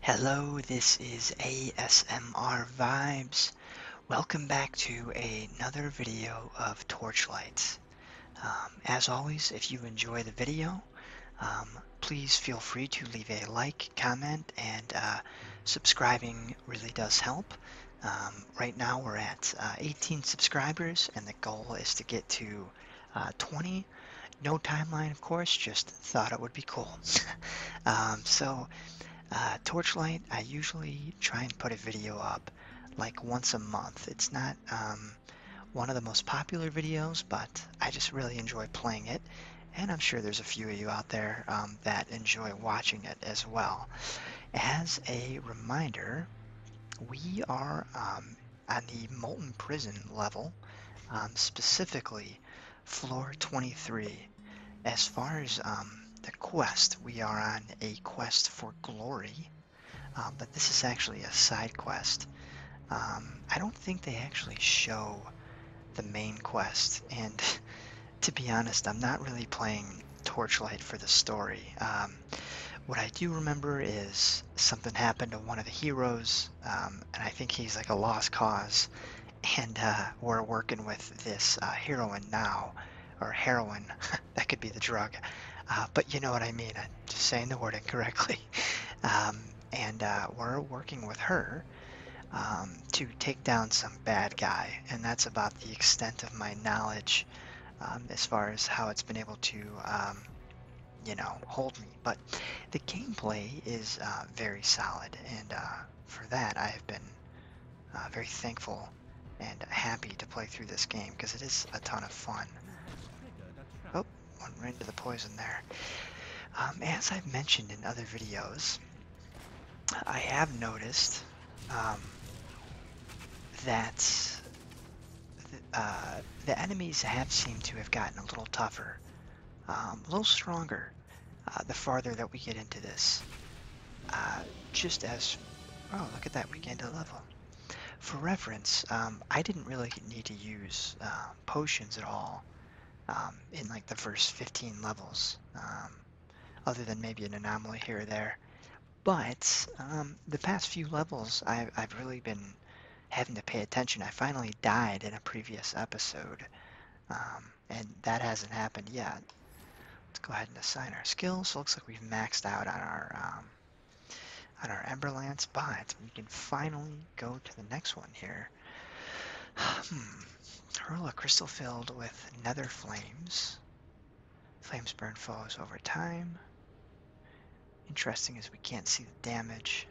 Hello, this is ASMR Vibes. Welcome back to another video of Torchlight. Um, as always, if you enjoy the video, um, please feel free to leave a like, comment, and uh, subscribing really does help. Um, right now we're at uh, 18 subscribers, and the goal is to get to uh, 20. No timeline, of course, just thought it would be cool. Um, so, uh, Torchlight, I usually try and put a video up like once a month. It's not um, one of the most popular videos, but I just really enjoy playing it. And I'm sure there's a few of you out there um, that enjoy watching it as well. As a reminder, we are on the Molten Prison level, specifically floor 23. As far as um, the quest, we are on a quest for glory, um, but this is actually a side quest. Um, I don't think they actually show the main quest, and to be honest, I'm not really playing Torchlight for the story. what I do remember is something happened to one of the heroes um, and I think he's like a lost cause. And uh, we're working with this uh, heroin now, or heroin, that could be the drug. Uh, but you know what I mean, I'm just saying the word incorrectly. Um, and uh, we're working with her um, to take down some bad guy, and that's about the extent of my knowledge as far as how it's been able to you know, hold me. But the gameplay is uh, very solid, and uh, for that I have been uh, very thankful and happy to play through this game because it is a ton of fun. Oh, went right into the poison there. Um, as I've mentioned in other videos, I have noticed um, that the enemies have seemed to have gotten a little tougher. Um, a little stronger uh, the farther that we get into this. Uh, just as, oh, look at that, we gained a level. For reference, um, I didn't really need to use uh, potions at all um, in like the first 15 levels, other than maybe an anomaly here or there. But the past few levels, I've really been having to pay attention. I finally died in a previous episode, um, and that hasn't happened yet. Let's go ahead and assign our skills. Looks like we've maxed out on our um, on our Emberlance, but we can finally go to the next one here. Hmm. Hurl crystal filled with nether flames. Flames burn foes over time. Interesting as we can't see the damage.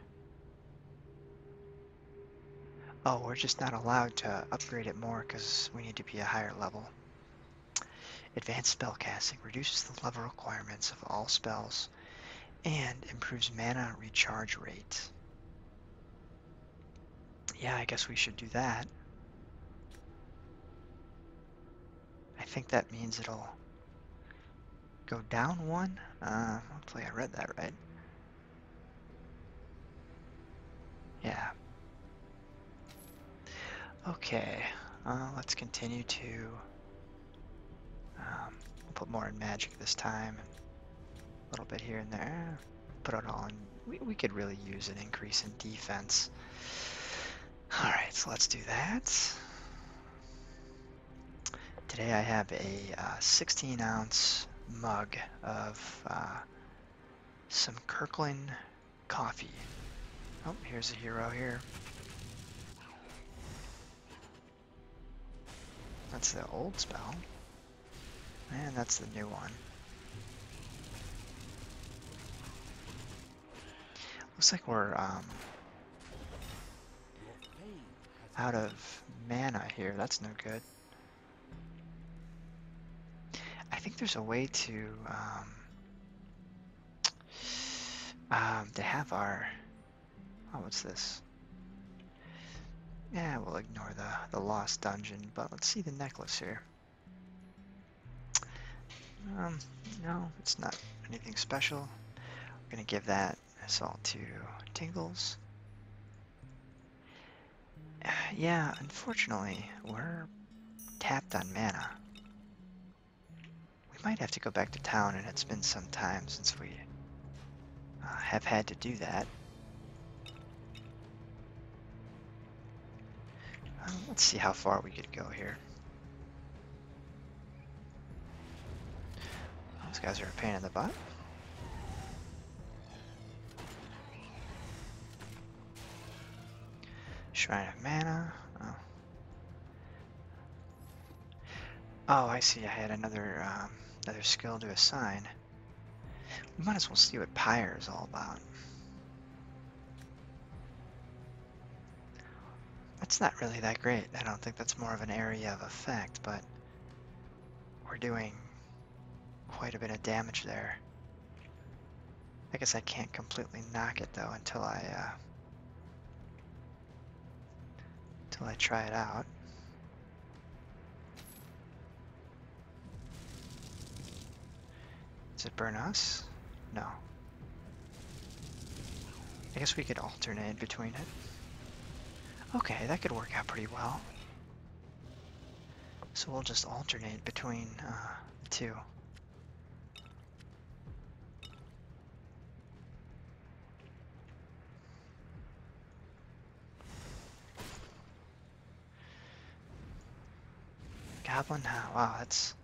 Oh, we're just not allowed to upgrade it more because we need to be a higher level. Advanced spellcasting reduces the level requirements of all spells and improves mana recharge rate. Yeah, I guess we should do that. I think that means it'll Go down one? Uh, hopefully I read that right. Yeah. Okay, uh, let's continue to... Um, put more in magic this time. A little bit here and there. Put it on. We, we could really use an increase in defense. Alright, so let's do that. Today I have a uh, 16 ounce mug of uh, some Kirkland coffee. Oh, here's a hero here. That's the old spell. And that's the new one. Looks like we're, um, out of mana here. That's no good. I think there's a way to um, um, to have our oh what's this? Yeah, we'll ignore the the lost dungeon, but let's see the necklace here. Um, no, it's not anything special. I'm gonna give that that's all to Tingles. Yeah, unfortunately, we're tapped on mana. We might have to go back to town, and it's been some time since we uh, have had to do that. Uh, let's see how far we could go here. Those guys are a pain in the butt. Shrine of Mana. Oh, oh I see. I had another um, another skill to assign. We might as well see what Pyre is all about. That's not really that great. I don't think that's more of an area of effect, but we're doing quite a bit of damage there. I guess I can't completely knock it though until I uh, until I try it out. Does it burn us? No. I guess we could alternate between it. Okay, that could work out pretty well. So we'll just alternate between uh, the two. Goblin? Oh, wow, that's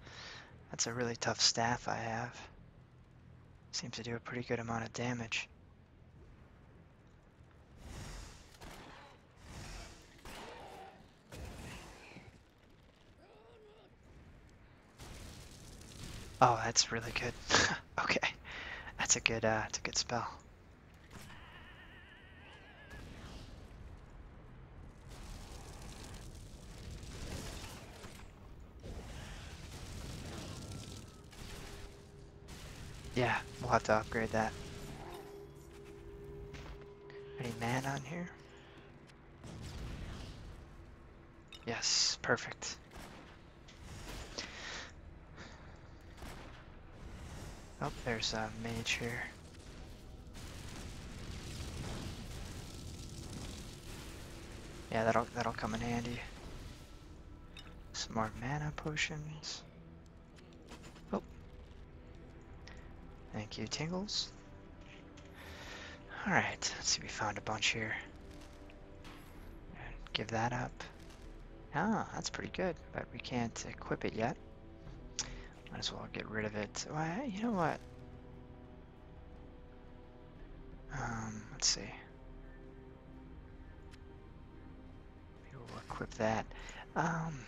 that's a really tough staff I have. Seems to do a pretty good amount of damage. Oh, that's really good. okay. That's a good uh, that's a good spell. Yeah, we'll have to upgrade that. Any man on here? Yes, perfect. Oh, there's a mage here. Yeah, that'll that'll come in handy. Some more mana potions. Oh. Thank you, Tingles. Alright, let's see, we found a bunch here. Give that up. Ah, that's pretty good, but we can't equip it yet. Might as well get rid of it. Well, you know what? Um, let's see we'll equip that. Um,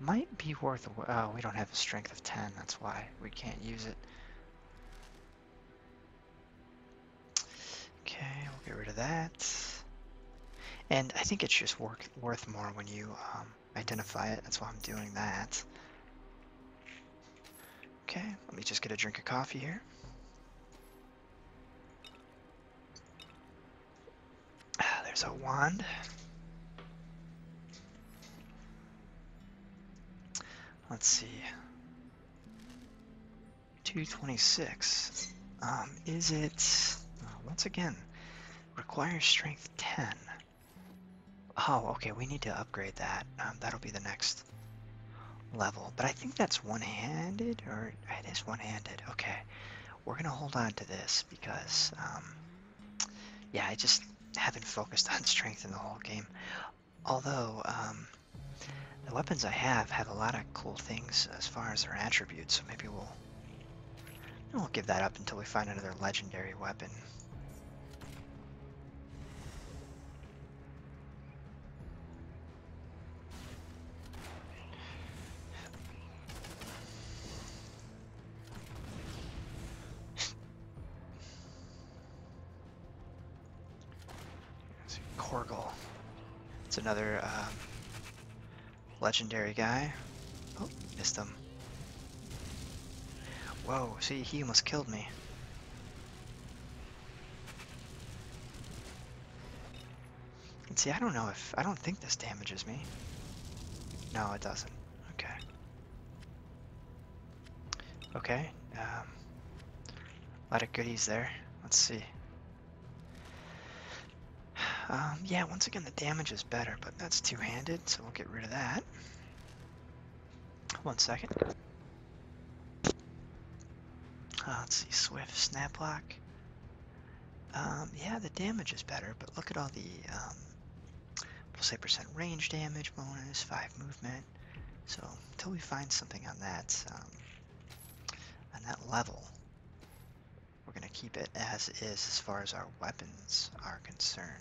might be worth. Oh, we don't have a strength of 10. That's why we can't use it. Okay, we'll get rid of that. And I think it's just work, worth more when you um, identify it. That's why I'm doing that. Okay, let me just get a drink of coffee here. Ah, there's a wand. Let's see. 226. Um, is it, uh, once again, requires strength 10. Oh, okay, we need to upgrade that. Um, that'll be the next level. But I think that's one-handed, or it is one-handed. Okay, we're going to hold on to this because, um, yeah, I just haven't focused on strength in the whole game. Although, um, the weapons I have have a lot of cool things as far as their attributes, so maybe we'll, we'll give that up until we find another legendary weapon. It's It's another um, legendary guy. Oh, missed him. Whoa, see, he almost killed me see, I don't know if... I don't think this damages me. No, it doesn't. Okay. Okay. Um, a lot of goodies there. Let's see. Um, yeah, once again, the damage is better, but that's two-handed, so we'll get rid of that. One second. Ah, let's see, Swift, Snaplock. Um, yeah, the damage is better, but look at all the, um, we'll say percent range damage bonus, 5 movement. So, until we find something on that, um, on that level, we're going to keep it as is as far as our weapons are concerned.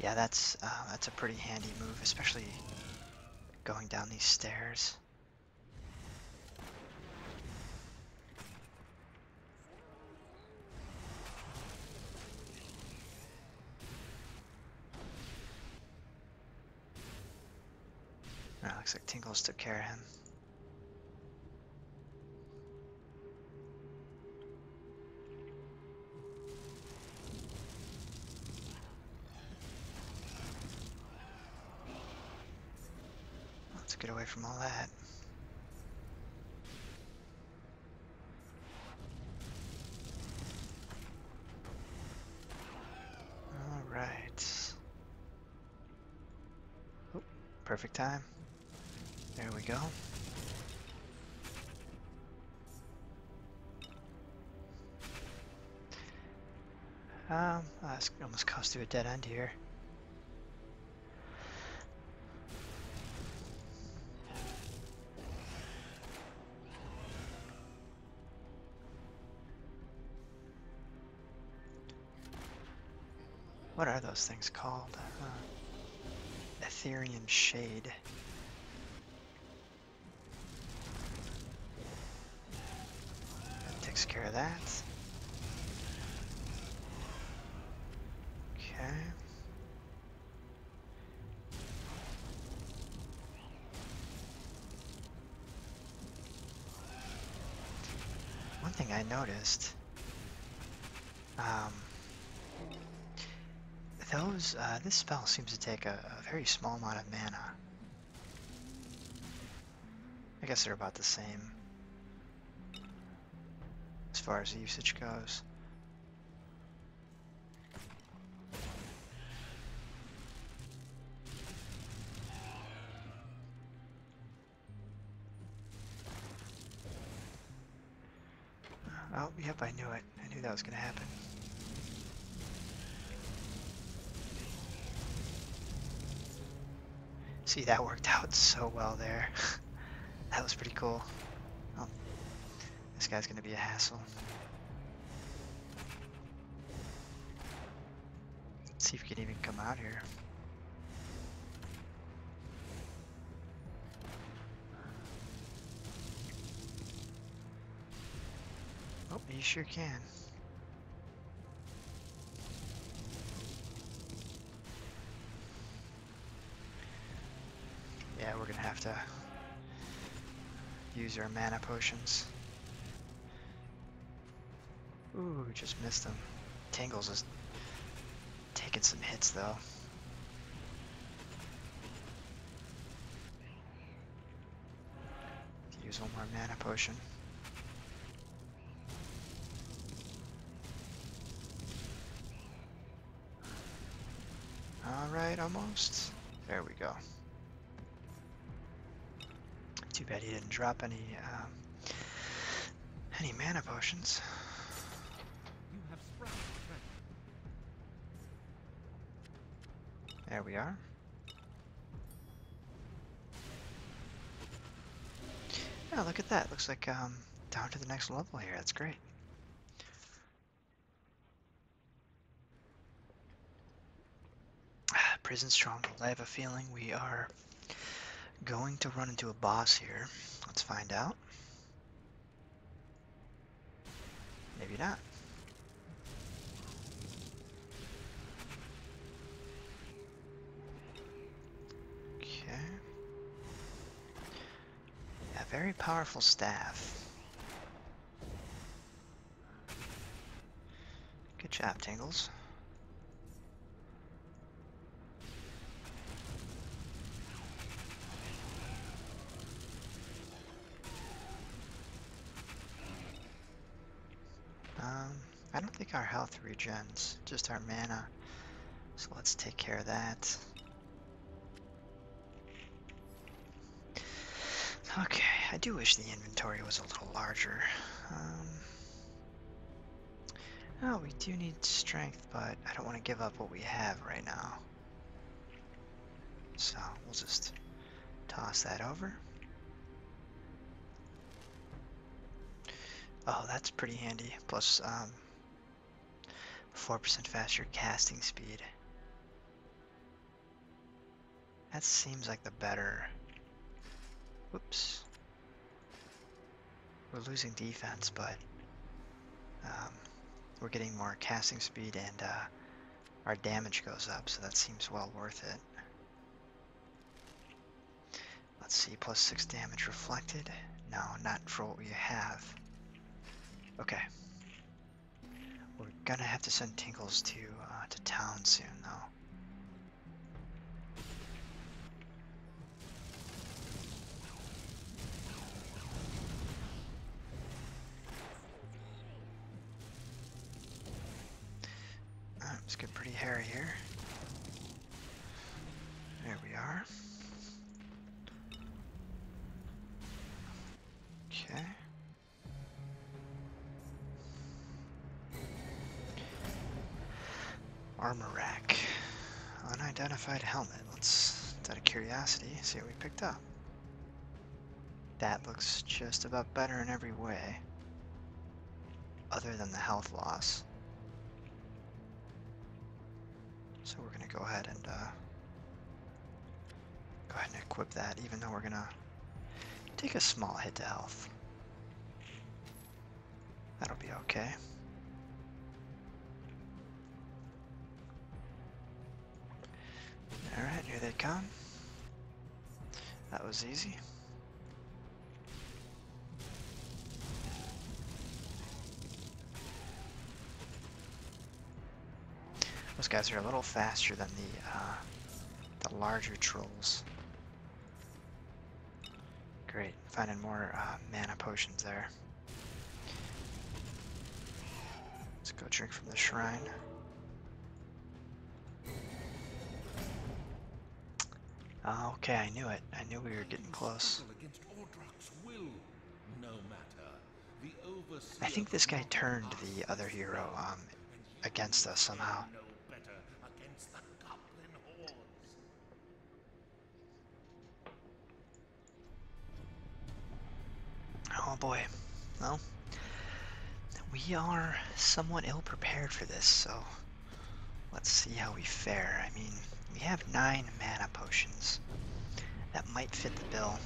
Yeah, that's uh, that's a pretty handy move, especially going down these stairs. No, ah, looks like Tinkles took care of him. Let's get away from all that. All right. Oh, perfect time. There we go. Um, that's almost cost you a dead end here. What are those things called? Uh, Ethereum Shade. Take care of that. Okay. One thing I noticed, um, those, uh, this spell seems to take a, very small amount of mana. I guess they're about the same as far as usage goes. Oh, yep, I knew it. I knew that was going to happen. See, that worked out so well there. that was pretty cool. Oh, this guy's going to be a hassle. Let's see if we can even come out here. Oh, you sure can. Yeah, we're gonna have to use our mana potions. Ooh, just missed him. Tangles is taking some hits though. Use one more mana potion. Alright, almost. There we go. Too bad he didn't drop any um, any mana potions. There we are. Oh, look at that. Looks like um, down to the next level here. That's great. Prison Stronghold. I have a feeling we are going to run into a boss here. Let's find out. Maybe not. Okay. A very powerful staff. Good job, Tingles. Um, I don't think our health regens, just our mana. So let's take care of that. Okay, I do wish the inventory was a little larger. Um, Oh, we do need strength, but I don't want to give up what we have right now. So we'll just toss that over. Oh, that's pretty handy. Plus, 4% um, faster casting speed. That seems like the better... Oops, We're losing defense, but um, we're getting more casting speed and uh, our damage goes up, so that seems well worth it. Let's see, plus 6 damage reflected. No, not for what we have. Okay. We're gonna have to send Tinkles to, uh, to town soon, though. Let's get pretty hairy here. There we are. Okay. Armor rack. Unidentified helmet. Let's, out of curiosity, see what we picked up. That looks just about better in every way. Other than the health loss. So we're going to go ahead and uh, go ahead and equip that, even though we're going to take a small hit to health. That'll be okay. Alright, here they come. That was easy. Those guys are a little faster than the uh, the larger trolls. Great, finding more uh, mana potions there. Let's go drink from the shrine. Ah, okay, I knew it. I knew we were getting close. I think this guy turned the other hero um, against us somehow. Oh boy. Well, we are somewhat ill prepared for this, so let's see how we fare. I mean, we have nine mana potions. That might fit the bill.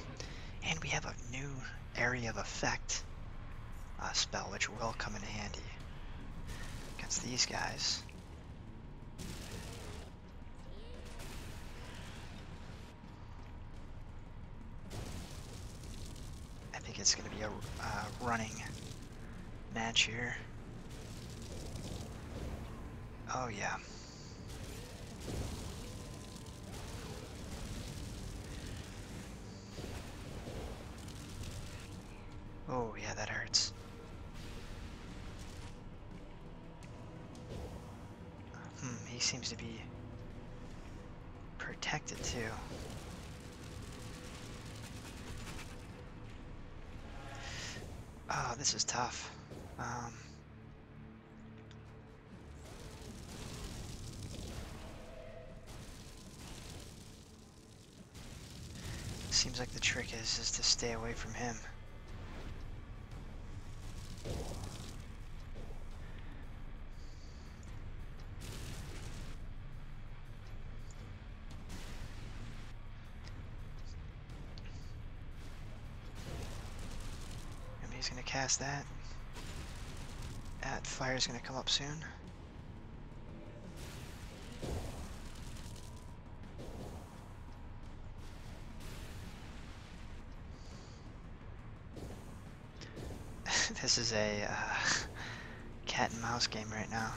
And we have a new area of effect uh, spell, which will come in handy against these guys. I think it's going to be a uh, running match here. Oh yeah. Oh, yeah, that hurts. Hmm, he seems to be protected too. Oh, this is tough. Um, Seems like the trick is, is to stay away from him. Maybe he's gonna cast that. That fire's gonna come up soon. this is a uh, cat and mouse game right now.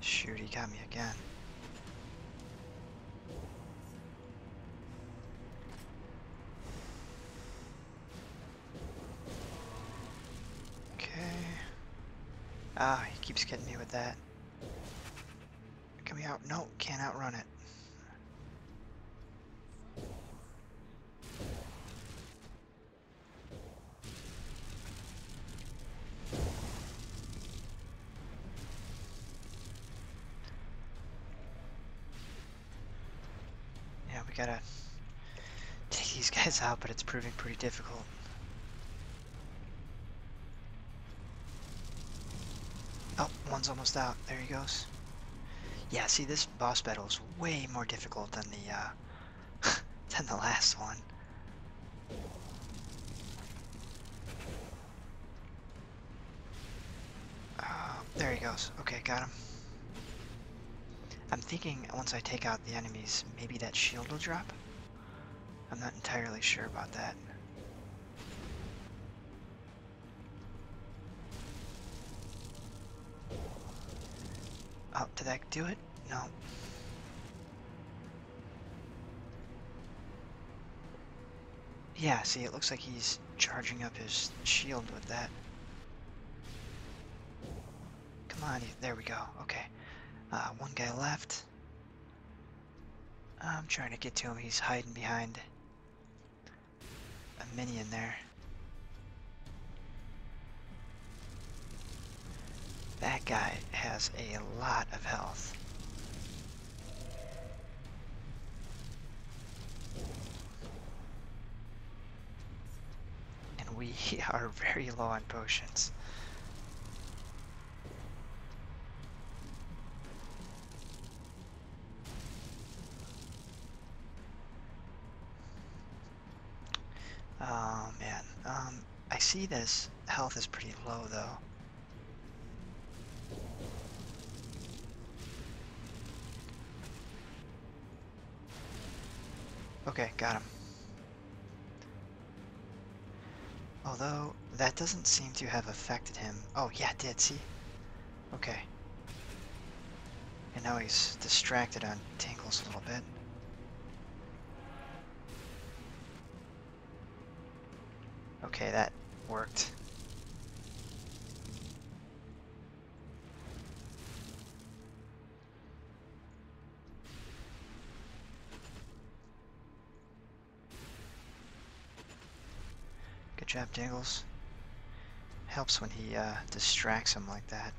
Shoot, he got me again. Okay. Ah, he keeps getting me with that. Coming out? No, can't outrun it. Yeah, we gotta take these guys out, but it's proving pretty difficult. Oh, one's almost out. There he goes. Yeah, see, this boss battle is way more difficult than the uh, than the last one. Uh, there he goes. Okay, got him. I'm thinking once I take out the enemies, maybe that shield will drop? I'm not entirely sure about that. Oh, did that do it? No. Yeah, see, it looks like he's charging up his shield with that. Come on, there we go, okay. Uh, one guy left. I'm trying to get to him, he's hiding behind a minion there. That guy has a lot of health. And we are very low on potions. Oh man, um, I see this. health is pretty low though. Okay, got him. Although, that doesn't seem to have affected him. Oh yeah, did, see? Okay. And now he's distracted on Tingles a little bit. Okay, that worked. Good job, Dangles. Helps when he uh, distracts him like that.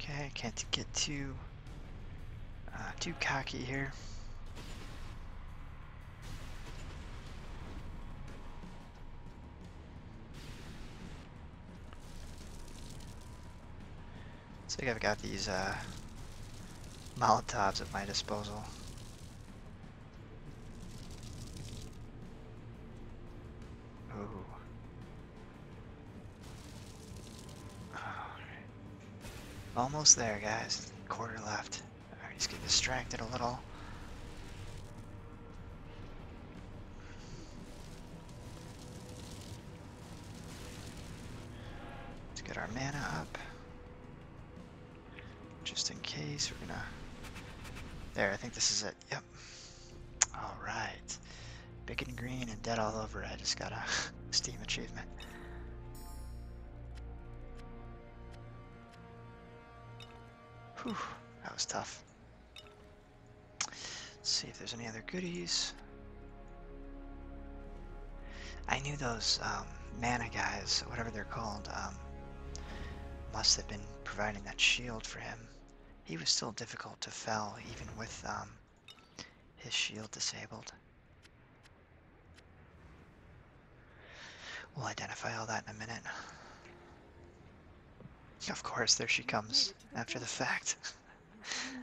Okay, I can't get too, uh, too cocky here. like I've got these uh, Molotovs at my disposal. Oh. Alright. Almost there, guys. Quarter left. Alright, just get distracted a little. Let's get our mana up. Just in case, we're gonna... There, I think this is it. Yep. Alright. Big and green and dead all over. I just got a Steam achievement. Whew, that was tough. Let's see if there's any other goodies. I knew those um, mana guys, whatever they're called, um, must have been providing that shield for him. He was still difficult to fell even with um, his shield disabled. We'll identify all that in a minute. Of course, there she comes after the fact.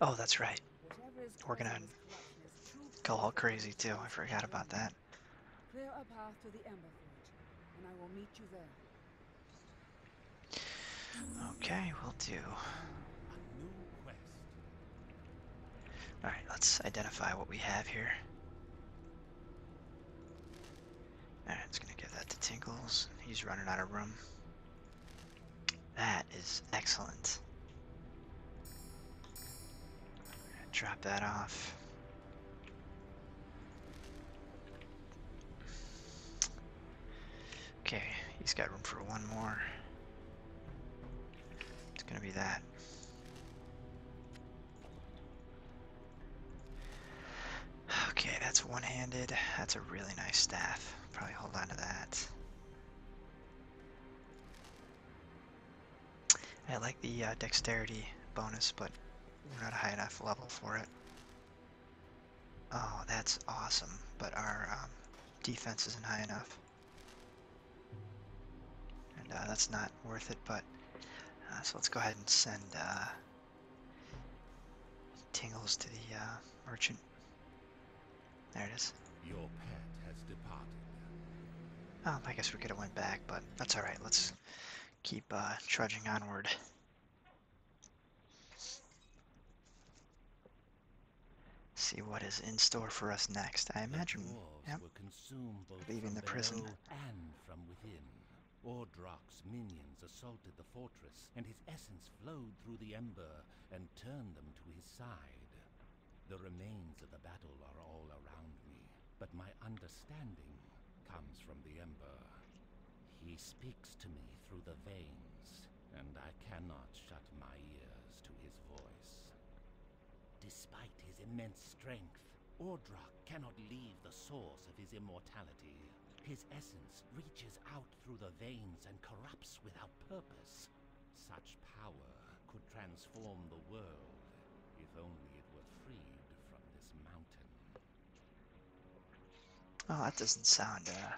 Oh, that's right. We're gonna go all crazy too. I forgot about that. Clear a path to the Amber Fort, and I will meet you there. Okay, we'll do. Alright, let's identify what we have here. Alright, it's gonna give that to Tinkles. He's running out of room. That is excellent. Drop that off. Okay, he's got room for one more. It's gonna be that. Okay, that's one-handed. That's a really nice staff. Probably hold on to that. I like the uh, dexterity bonus, but we're not a high enough level for it. Oh, that's awesome, but our um, defense isn't high enough. And uh, that's not worth it, but... Uh, so let's go ahead and send Tingles to the merchant. There it is. Your pet has departed. Well, I guess we could have went back, but that's all right. Let's keep uh, trudging onward. See what is in store for us next. I imagine yep, leaving the prison. And from within, Ordrock's minions assaulted the fortress and his essence flowed through the ember and turned them to his side. The remains of the battle are all around me, but my understanding comes from the ember. He speaks to me through the veins, and I cannot shut my ears to his voice. Despite his immense strength, Ordrak cannot leave the source of his immortality. His essence reaches out through the veins and corrupts without purpose. Such power could transform the world if only it were freed from this mountain. Oh, that doesn't sound uh,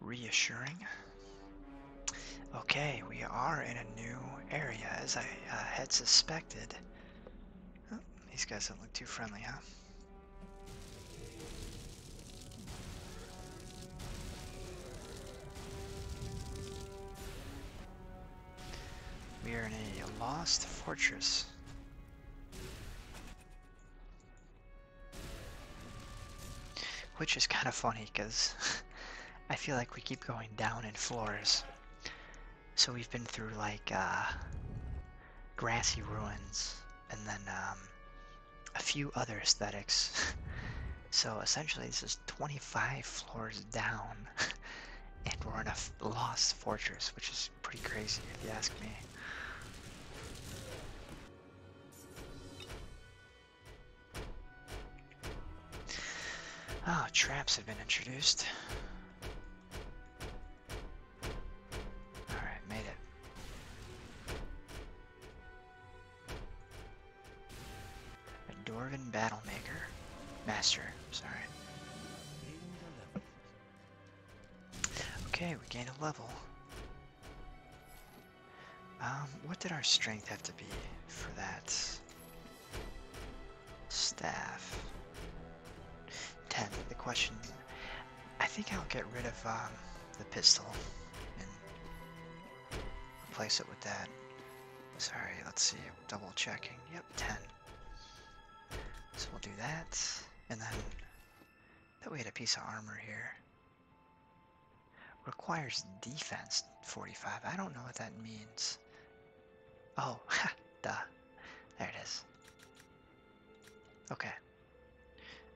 reassuring. Okay, we are in a new area, as I had suspected. Oh, these guys don't look too friendly, huh? We are in a lost fortress. Which is kind of funny because I feel like we keep going down in floors. So we've been through like uh, grassy ruins and then um, a few other aesthetics. so essentially, this is 25 floors down, and we're in a lost fortress, which is pretty crazy if you ask me. Oh, traps have been introduced. Alright, made it. A Dwarven Maker, Master, sorry. Okay, we gained a level. Um, what did our strength have to be for that? Staff. 10. The question I think I'll get rid of um, the pistol and replace it with that. Sorry, let's see, double checking. Yep, 10. So we'll do that, and then that we had a piece of armor here. Requires defense 45. I don't know what that means. Oh, duh. There it is. Okay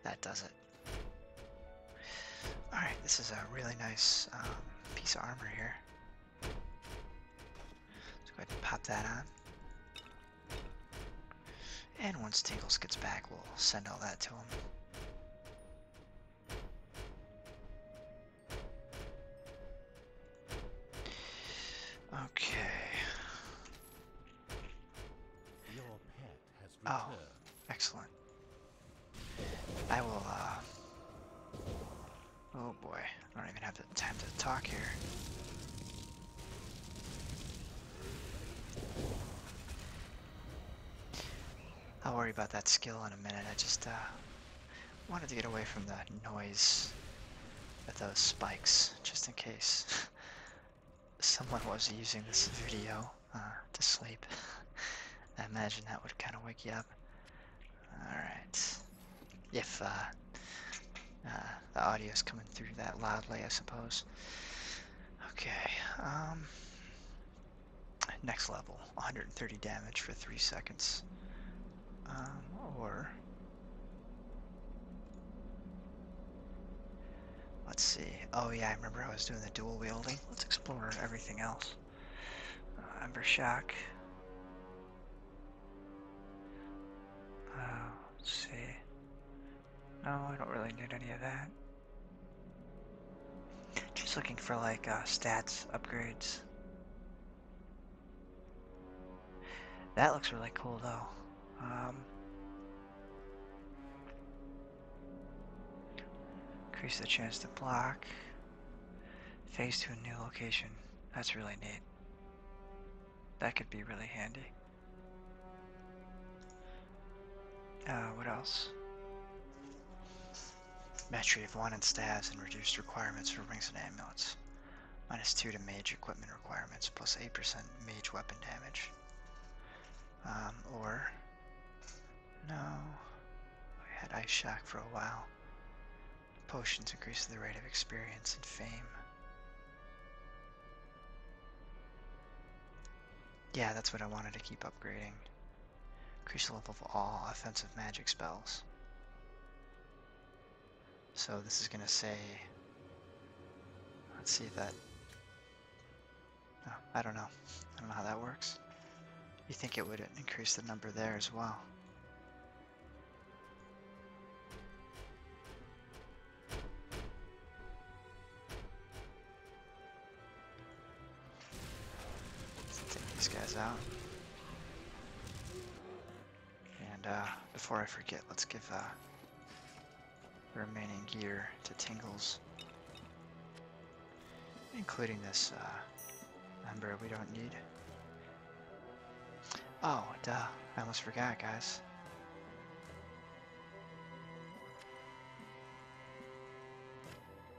that does it. Alright, this is a really nice um, piece of armor here. Let's go ahead and pop that on. And once Tingles gets back, we'll send all that to him. Okay. Oh, excellent. I will, uh, Oh boy, I don't even have the time to talk here. I'll worry about that skill in a minute, I just, uh, Wanted to get away from the noise of those spikes, just in case. someone was using this video uh, to sleep. I imagine that would kind of wake you up. Alright. If uh, uh, the audio is coming through that loudly, I suppose. Okay. Um, next level 130 damage for 3 seconds. Um, or. Let's see. Oh yeah, I remember I was doing the dual wielding. Let's explore everything else. Uh, Ember shack. Uh, let's see. No, I don't really need any of that. Just looking for like uh, stats upgrades. That looks really cool though. Um, Increase the chance to block. Face to a new location. That's really neat. That could be really handy. Uh, what else? Mastery of 1 in staves, and reduced requirements for rings and amulets. Minus 2 to mage equipment requirements, plus 8% mage weapon damage. Um, or, no, I had Ice Shack for a while. Potions increase the rate of experience and fame. Yeah, that's what I wanted to keep upgrading. Increase the level of all offensive magic spells. So this is going to say, let's see that I don't know. I don't know how that works. You think it would increase the number there as well. Let's take these guys out. And uh, before I forget, let's give uh, remaining gear to Tingles, including this uh, member we don't need. Oh, duh, I almost forgot, guys.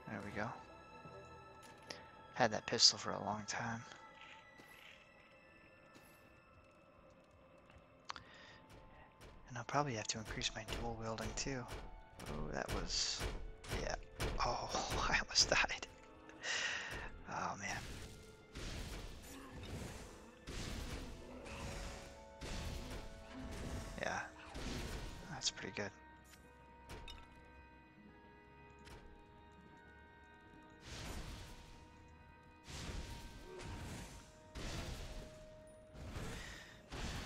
There we go. Had that pistol for a long time. And I'll probably have to increase my dual wielding too. Oh, that was... yeah. Oh, I almost died. Oh, man. Yeah. That's pretty good.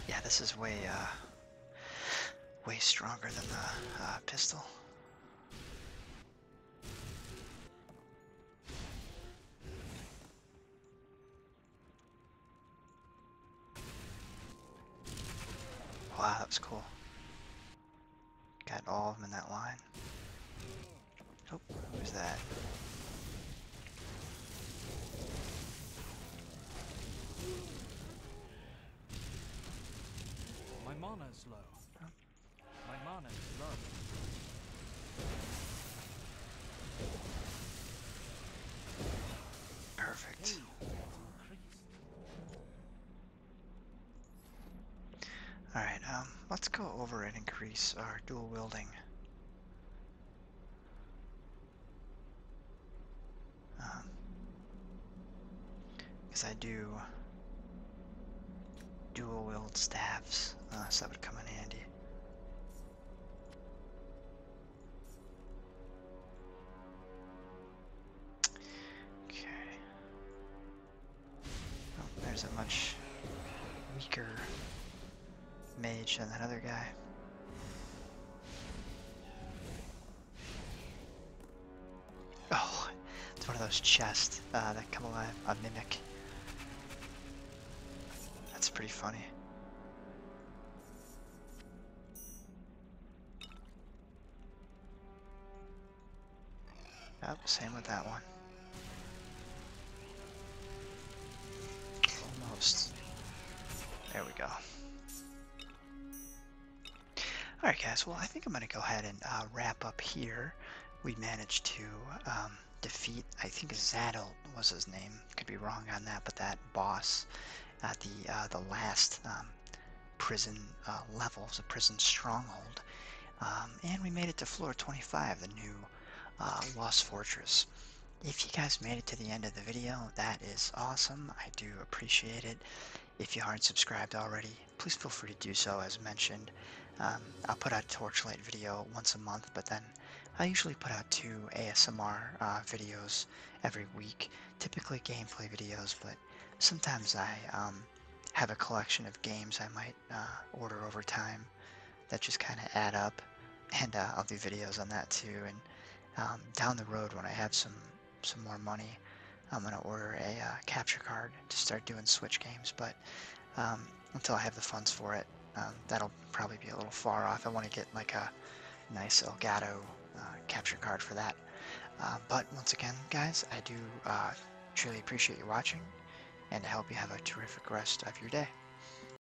Yeah, this is way, uh, way stronger than the uh, pistol. Wow, that's cool. Got all of them in that line. Oh, who's that? My mana is low. My mana is low. Perfect. Alright, um, let's go over and increase our dual wielding. Because um, I do dual wield staves, uh, so that would come in handy. Okay. Oh, there's a much weaker mage and that other guy. Oh, it's one of those chests uh, that come alive, a mimic. That's pretty funny. Yep, same with that one. Almost. There we go. Alright guys, well I think I'm going to go ahead and uh, wrap up here. We managed to um, defeat, I think Zadel was his name. Could be wrong on that, but that boss at the, uh, the last um, prison uh, level, the prison stronghold. Um, and we made it to floor 25, the new um, uh, Lost Fortress. If you guys made it to the end of the video, that is awesome. I do appreciate it. If you aren't subscribed already, please feel free to do so as mentioned. Um, I'll put out Torchlight video once a month, but then I usually put out two ASMR uh, videos every week, typically gameplay videos, but sometimes I um, have a collection of games I might uh, order over time that just kind of add up. And uh, I'll do videos on that too. And um, down the road, when I have some some more money, I'm gonna order a uh, capture card to start doing Switch games. But um, until I have the funds for it, um, that'll probably be a little far off. I want to get like a nice Elgato uh, capture card for that. but once again, guys, I do truly appreciate you watching, and I hope you have a terrific rest of your day.